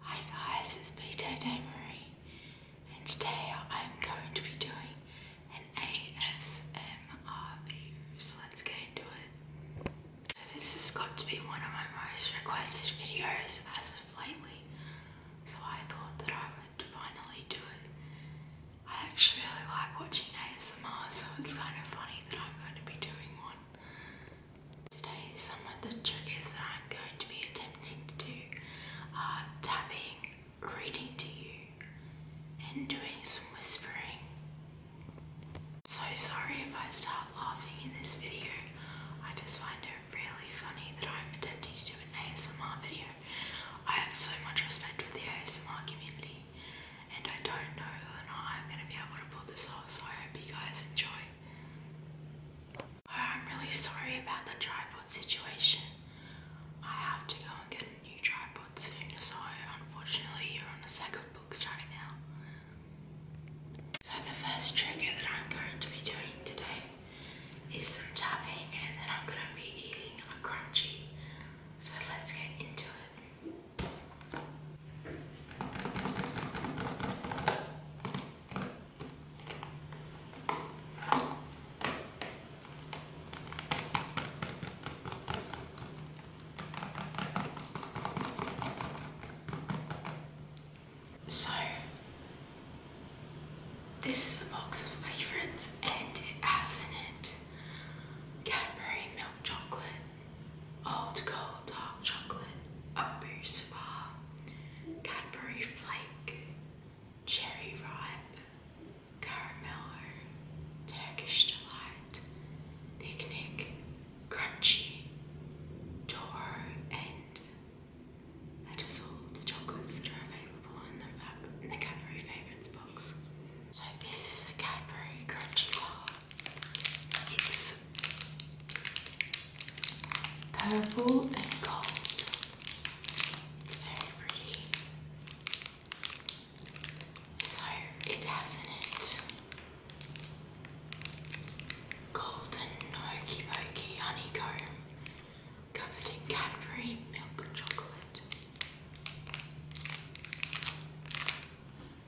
Hi guys, it's Peter Damery and today I'm going to be doing an ASMR so let's get into it. So this has got to be one of my most requested videos as of lately, so I thought that I would finally do it. I actually really like watching ASMR, so it's kind of funny that I'm going to be doing one. Today some of the triggers that I'm going to be attempting to do are tapping, reading to you, and doing some whispering. So sorry if I start laughing in this video. I just find it really funny that I'm attempting to do an ASMR video. I have so much respect for the ASMR community and I don't know whether I'm going to be able to pull this off so I hope you guys enjoy. I'm really sorry about the tripod situation. I have to go and get a new tripod soon, so unfortunately, you're on a sack of books right now. So, the first trick that I'm going to be doing today is some tapping, and then I'm going to be eating a crunchy. So, let's get into it. So, this is a box of favourites and it has in it Cadbury milk chocolate, Old Gold Dark Chocolate, Abu Cadbury Flake, Cherry Ripe, Caramello, Turkish Delight, Picnic, Crunchy, Toro, and that is all the chocolates that are available in the, in Cadbury Favourites box. So this is a Cadbury Crunchy Bar purple and gold. It's very pretty. So it has in it golden hokey pokey honeycomb covered in Cadbury milk chocolate.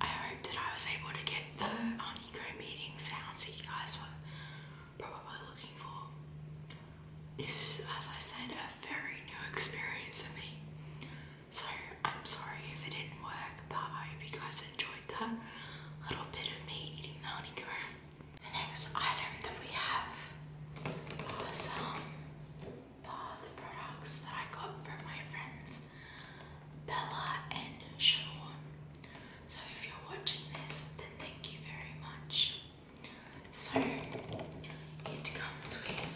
I hope that I was able to get the honeycomb eating sounds that you guys were probably looking for. This is, as I said, a very new experience for me. So I'm sorry if it didn't work, but I hope you guys enjoyed that little bit of me eating the honeycomb. The next item that we have are some bath products that I got from my friends Bella and Siobhan. So if you're watching this, then thank you very much. So it comes with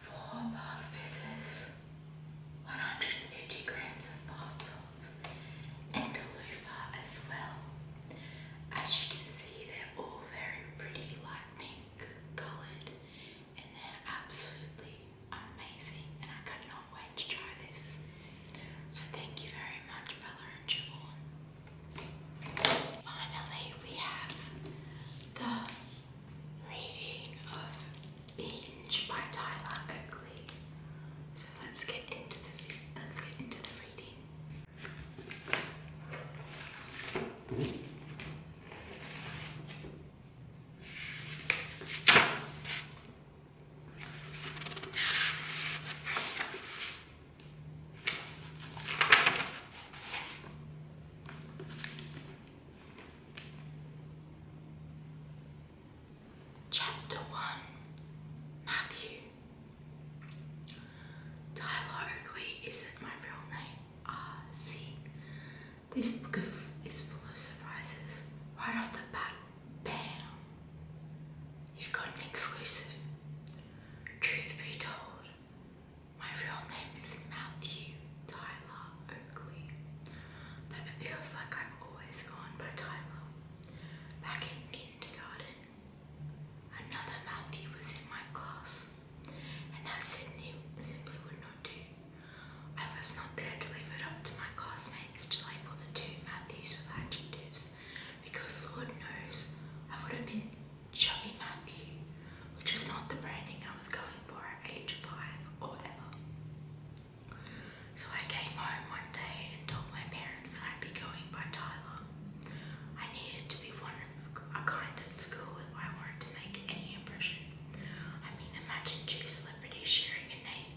Four bath fizzes, 150 grams of bath salts, and a loofah as well. As you can see, they're all very pretty, light pink coloured, and they're absolutely amazing. And I cannot wait to try this. So, thank you very much, Bella and Siobhan. Finally, we have the reading of Binge by Tyler Oakley. So let's get into the let's get into the reading. Chapter 1 Matthew Tyler Oakley isn't my real name. Ah, This book is full of surprises. Right off the bat, bam! You've got an exclusive. Truth be told, my real name is Matthew Tyler Oakley, but it feels like i am always gone by Tyler. Back in kindergarten, another Matthew was in my class, and that Sydney simply would not do. I was not there to leave it up to my classmates to label the two Matthews with adjectives, because Lord knows I would have been Chubby Matthew, which was not the branding I was going for at age five or ever. So I came home one day and told my parents that I'd be going by Tyler. I needed to be one of a kind at school if I wanted to make any impression. I mean, imagine two celebrities sharing a name.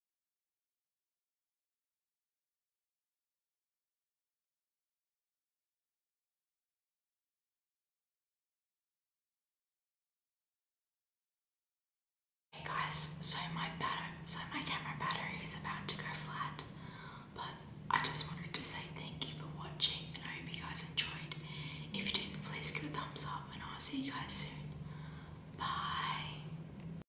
Hey guys, so my battery, so my camera battery is about to go flat, but I just wanted to say thank you for watching and I hope you guys enjoyed. If you did, please give a thumbs up and I'll see you guys soon. Bye.